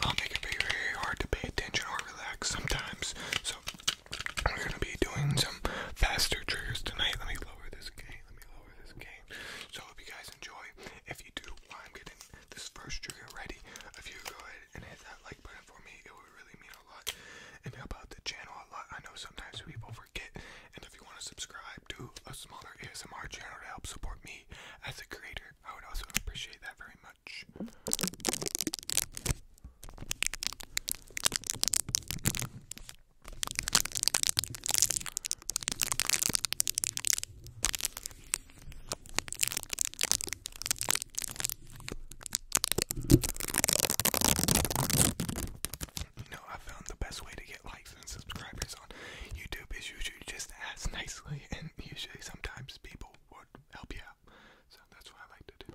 I'll make it can very hard to pay attention or relax sometimes. So I'm gonna be doing some faster triggers tonight. Let me lower this game. Let me lower this game. So hope you guys enjoy, if you do, while I'm getting this first trigger ready, if you go ahead and hit that like button for me, it would really mean a lot and help out the channel a lot. I know sometimes people forget. And if you want to subscribe to a smaller ASMR channel to help support me as a creator I would also appreciate that very much. You know, I found the best way to get likes and subscribers on YouTube is usually just ask nicely. and usually sometimes people would help you out. So that's what I like to do.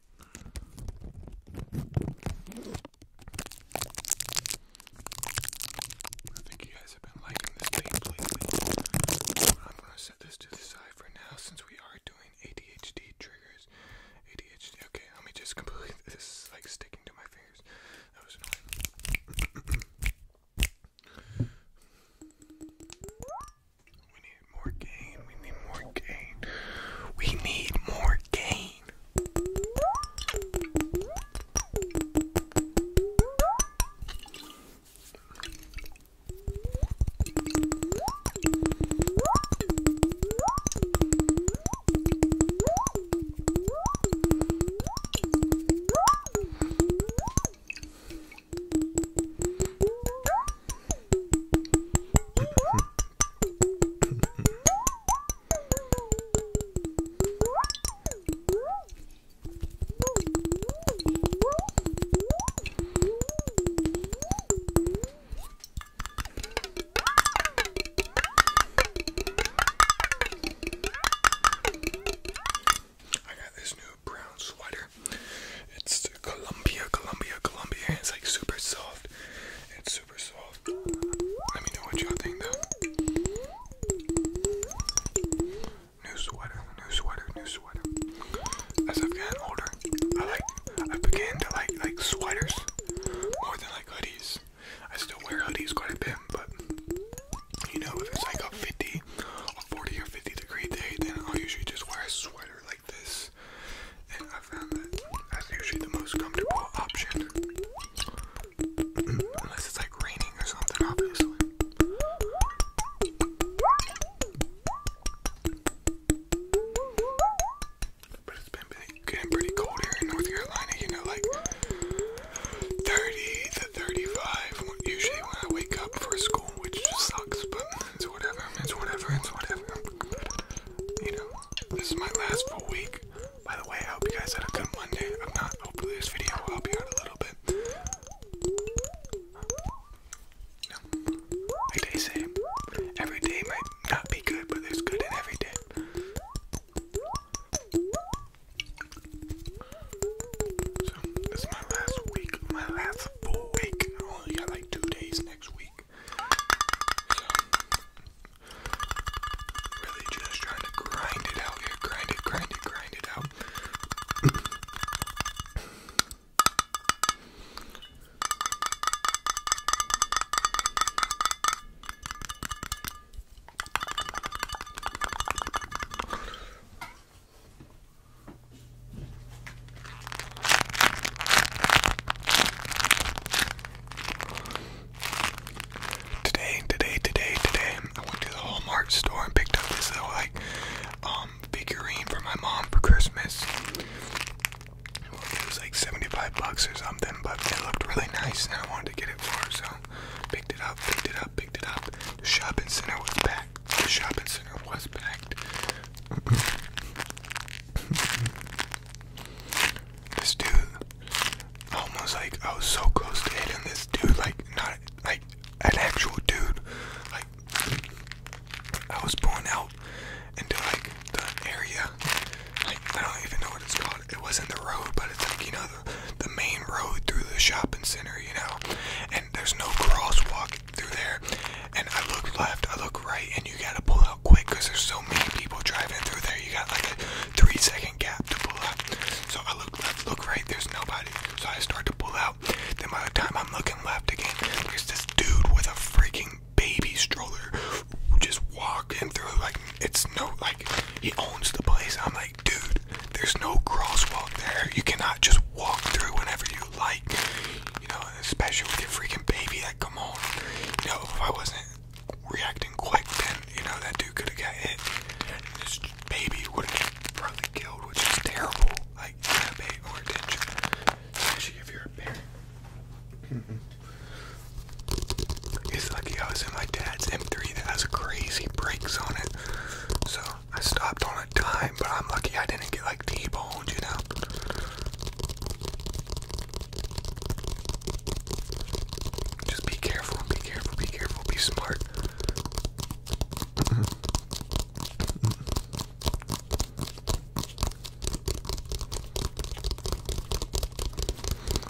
I think you guys have been liking this tape I'm gonna set this to the side for now since we are doing ADHD triggers. ADHD. Okay, let me just complete this. Is like sticking to my fingers. That was annoying. We need more gain. We need more gain. We need more gain. I got this new brown sweater it's Columbia, Columbia, Columbia. It's like super soft. It's super soft. Let me know what y'all think though. New sweater, new sweater, new sweater. As I've gotten older, I like I began to like like sweaters more than like hoodies. I still wear hoodies quite a bit, but you know, if it's like a 50 a 40 or 50 degree day, then I'll usually just wear a sweater. Like this, and I found that that's usually the most comfortable option. Unless it's like raining or something, But it's been getting pretty cold here in North Carolina, you know, like 30 to 35, usually when I wake up for school, which just sucks, but. It's whatever, it's whatever, it's whatever. You know, this is my last full week. By the way, I hope you guys had a good Monday. I'm not, hopefully this video will help you out a little bit. like they say, every day might not be good, but there's good in every day. So, this is my last week, my last full week. I got like two days next week. So, really just trying to grind it out here. Grind it, grind it, grind it out. Today, today, today, today, I went to the Walmart store and picked up this little like um figurine for my mom for Christmas. It was like 75 bucks or something, but it looked really nice and I wanted to get it for her, so picked it up, picked it up, picked it up. The shopping center was packed. The shopping center was packed. this dude, almost like I was so close to hitting this dude, like not like an actual dude. Like I was pulling out into like the area. I don't even know what it's called. It wasn't the road, but it's like you know the the main road through the shopping center, you know. And there's no crosswalk through there. And I look left, I look right, and you gotta pull out quick because there's so many people driving through there. You got like a three second gap to pull out. So I look left, look right, there's nobody. So I start to pull out. Then by the time I'm looking left again, there's this dude with a freaking baby stroller just walking through. Like, it's no, like, he owns the place. I'm like, dude, there's no crosswalk there. You cannot just walk through whenever you like. You know, especially with your freaking baby that come on, You know, if I wasn't reacting quick, then you know that dude could have got hit. And this baby would have probably killed, which is terrible. Like, you gotta pay more attention, especially if you're a parent. It's lucky I was in my dad's M3 that has crazy brakes on it. So I stopped on a dime, but I'm lucky I didn't get like T-boned, you know. Just be careful, be careful, be careful, be smart.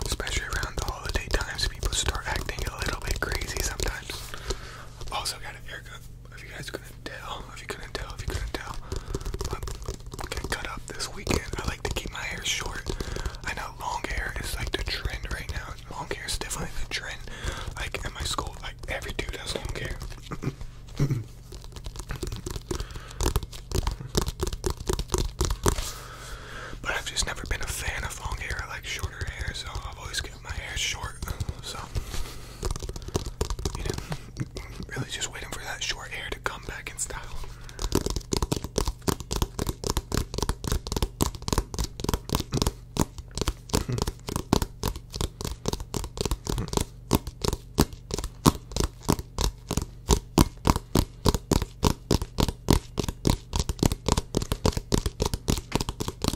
Especially around the holiday times, people start acting a little bit crazy sometimes. Also got an haircut if you guys couldn't tell, if you couldn't tell, if you couldn't tell, I'm gonna cut up this weekend. I like to keep my hair short. I know long hair is like the trend right now. Long hair is definitely the trend. Like at my school, like every dude has long hair. But I've just never been a fan of long hair. I like shorter hair, so I've always my hair short, so you know, really just waiting for that short hair to come back in style.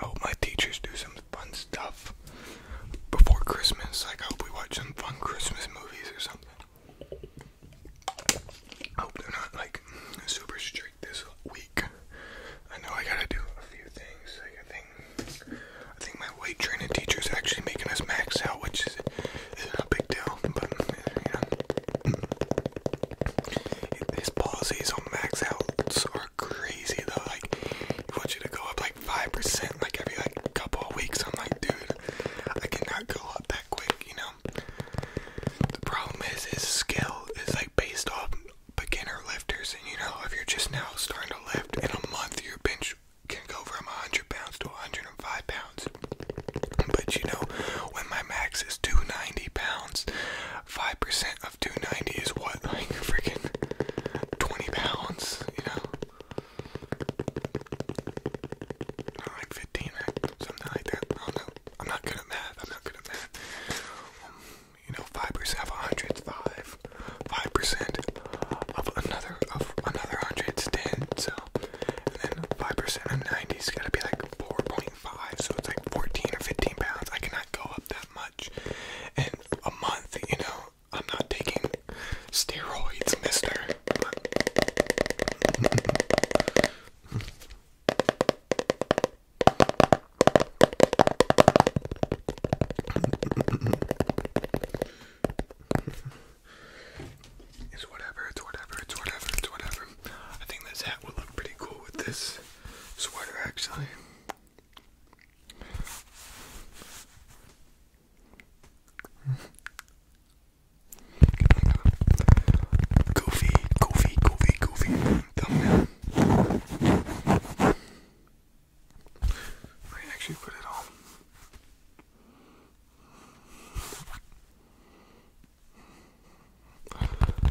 I hope my teachers do some fun stuff before Christmas. Like, I hope we watch some fun Christmas movies or something. I hope they're not like super strict this week. I know I gotta do a few things. Like, I think I think my weight training teacher is actually making us max out, which is it's not a big deal, but you know, his policies on max outs are crazy though. Like, he wants you to go up like five percent, like every like couple of weeks. I'm like, dude, I cannot go up that quick, you know. The problem is his skill is like based off beginner lifters, and you know, if you're just now starting to lift in a month, your bench can go from 100 pounds to 105 pounds. But you know, when my max is 290 pounds, 5% of 290 is what? Like freaking 20 pounds, you know? Or like 15, Something like that. I don't know. I'm not good at math. I'm not good at math. you know, 5% of 100 5. percent of another, of another 100 is 10. And then 5% of 90 is going to be like 4.5, so it's like 14 or 15 pounds. I cannot go up that much in a month, you know. I'm not taking steroids, mister. It's whatever, it's whatever, it's whatever, it's whatever. I think this hat would look pretty cool with this sweater actually. Goofy, goofy, goofy, goofy thumbnail. I actually put it on.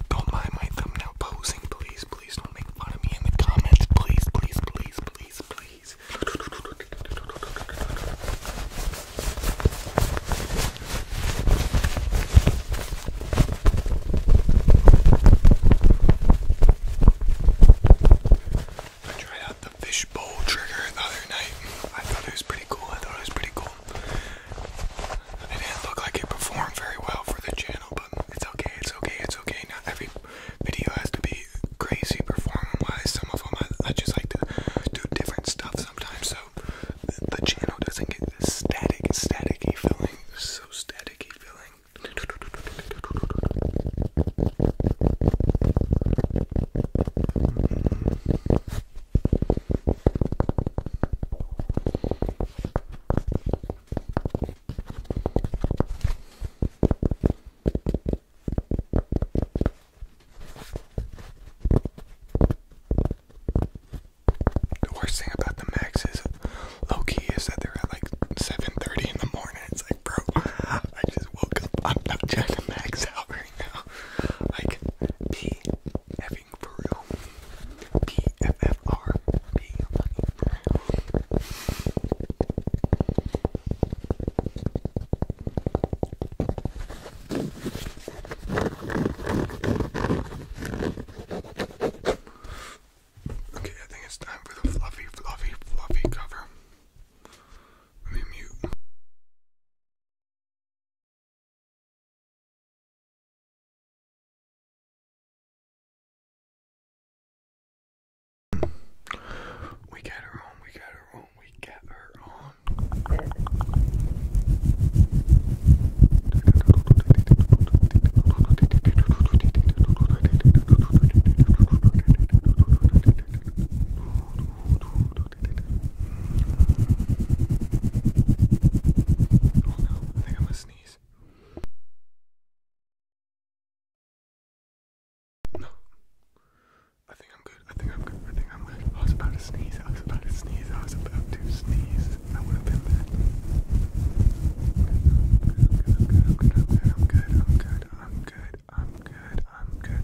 Don't mind my thumbnail posing, please. Please don't make fun of me in the comments. Please, please, please, please, please. I tried out the fishbowl trigger the other night. I thought it was pretty cool. I thought it was pretty cool. It didn't look like it performed very well for the channel, but it's okay. It's okay. It's okay. Not every video has to be crazy performing wise. Some of them I, just like to do different stuff sometimes, so the, channel doesn't get this static, staticky feeling. So staticy feeling. The worst thing about the Max is low key is that they're at like 7:30 in the morning. It's like, bro, I just woke up. I'm not trying to max out right now. Like, P Okay, I think it's time for the fluffy, fluffy, fluffy cover. Let me mute. We got her on, we got her on, we got her on. Oh no, I think I'm gonna sneeze. No. I think I'm good. I think I'm good. I think I'm good. I was about to sneeze. I was about to sneeze. I was about to sneeze. I would have been bad. I'm good. I'm good. I'm good. I'm good. I'm good. I'm good good, I'm good, I'm good.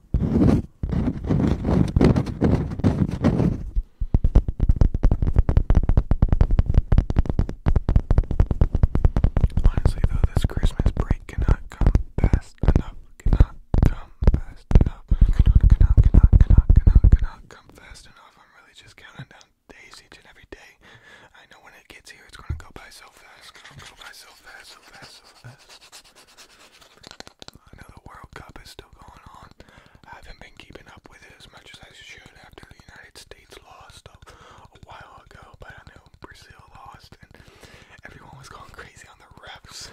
Honestly, though, this Christmas break cannot come fast enough. Cannot come fast enough. Cannot, cannot, cannot, cannot, cannot, cannot come fast enough. I'm really just counting down days each and every day. I know when it gets here, it's gonna go by so fast. It's gonna go by so fast, so fast, so fast. I know the World Cup is still going on. I haven't been keeping up with it as much as I should after the United States lost a, while ago, but I know Brazil lost and everyone was going crazy on the refs.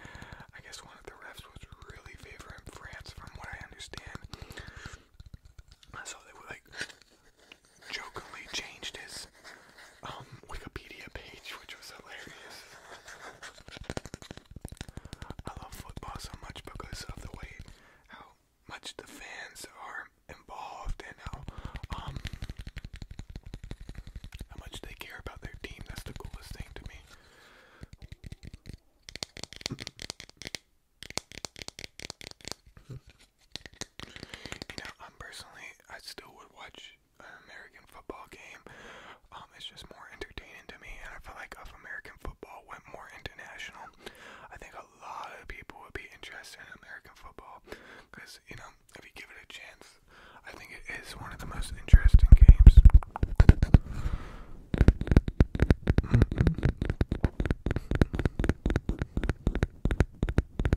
I guess one of the refs was really favoring France, from what I understand. I saw they were like jokingly changed his um, Wikipedia page, which was hilarious. I love football so much because of the way how much the fans are involved and how um how much they care about their team. That's the coolest thing to me. you know, I'm personally I still would watch American football game. Um, it's just more entertaining to me, and I feel like if American football went more international, I think a lot of people would be interested in American football because you know if you give it a chance, I think it is one of the most interesting games. Mm -hmm.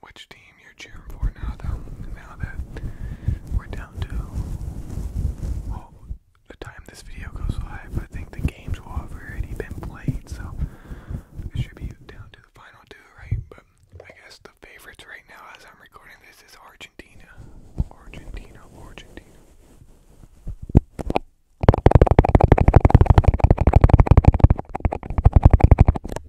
which team you're cheering for now, though. Now that we're down to well, the time this video goes live, I think the games will already been played, so it should be down to the final two, right? But I guess the favorites right now, as I'm recording this, is Argentina, Argentina, Argentina.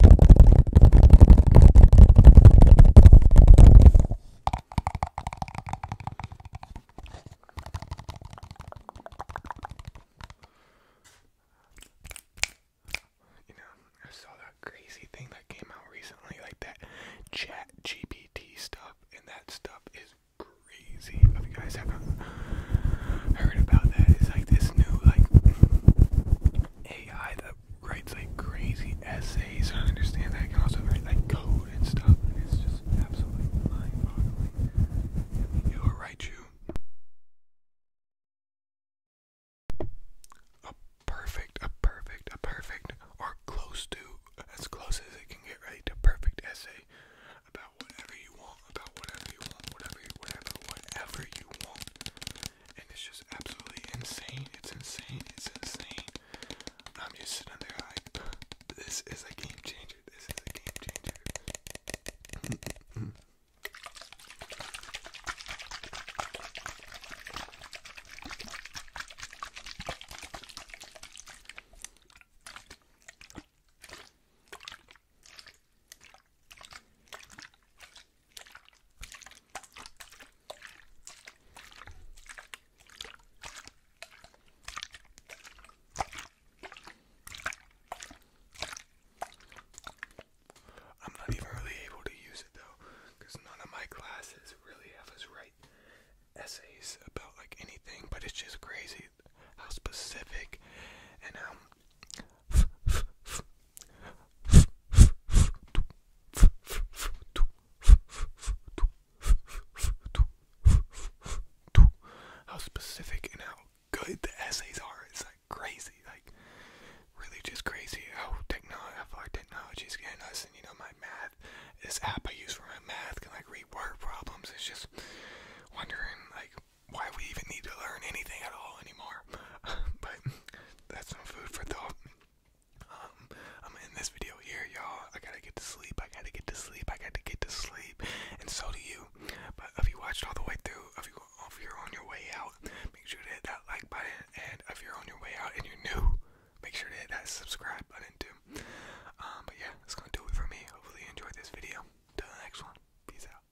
You know, I saw that crazy thing that came out recently, like that chat GPT stuff, and that stuff is crazy. If you guys have heard about that, it's like this new like AI that writes like crazy essays. I understand that. I can also write like code and stuff. And it's just absolutely mind-boggling. It will write you a perfect, a perfect, a perfect, or close to, as close as it can get, right? A perfect essay about whatever you want, about whatever you want, whatever, whatever, whatever you want and it's just absolutely insane. It's insane. It's insane. I'm just sitting there like, this is a game changer. This is a game changer. I'm not even really able to use it though, because none of my classes really have us write essays about like anything, but it's just crazy how specific and how how specific and how good the essays are. It's like crazy, like really just crazy how technology, how our technology's getting us. And you know, my math, this app I use for my math can like read word problems. It's just wondering, like, why we even need to learn anything at all anymore. but that's some food for thought. Um, I'm in this video here, y'all. I gotta get to sleep. I gotta get to sleep. I gotta get to sleep. And so do you. But if you watched all the way through, if, you, are on your way out, make sure to hit that like button. And if you're on your way out and you're new, make sure to hit that subscribe button too. Um, but yeah, that's gonna do it for me. Hopefully enjoyed this video. Till the next one. Peace out.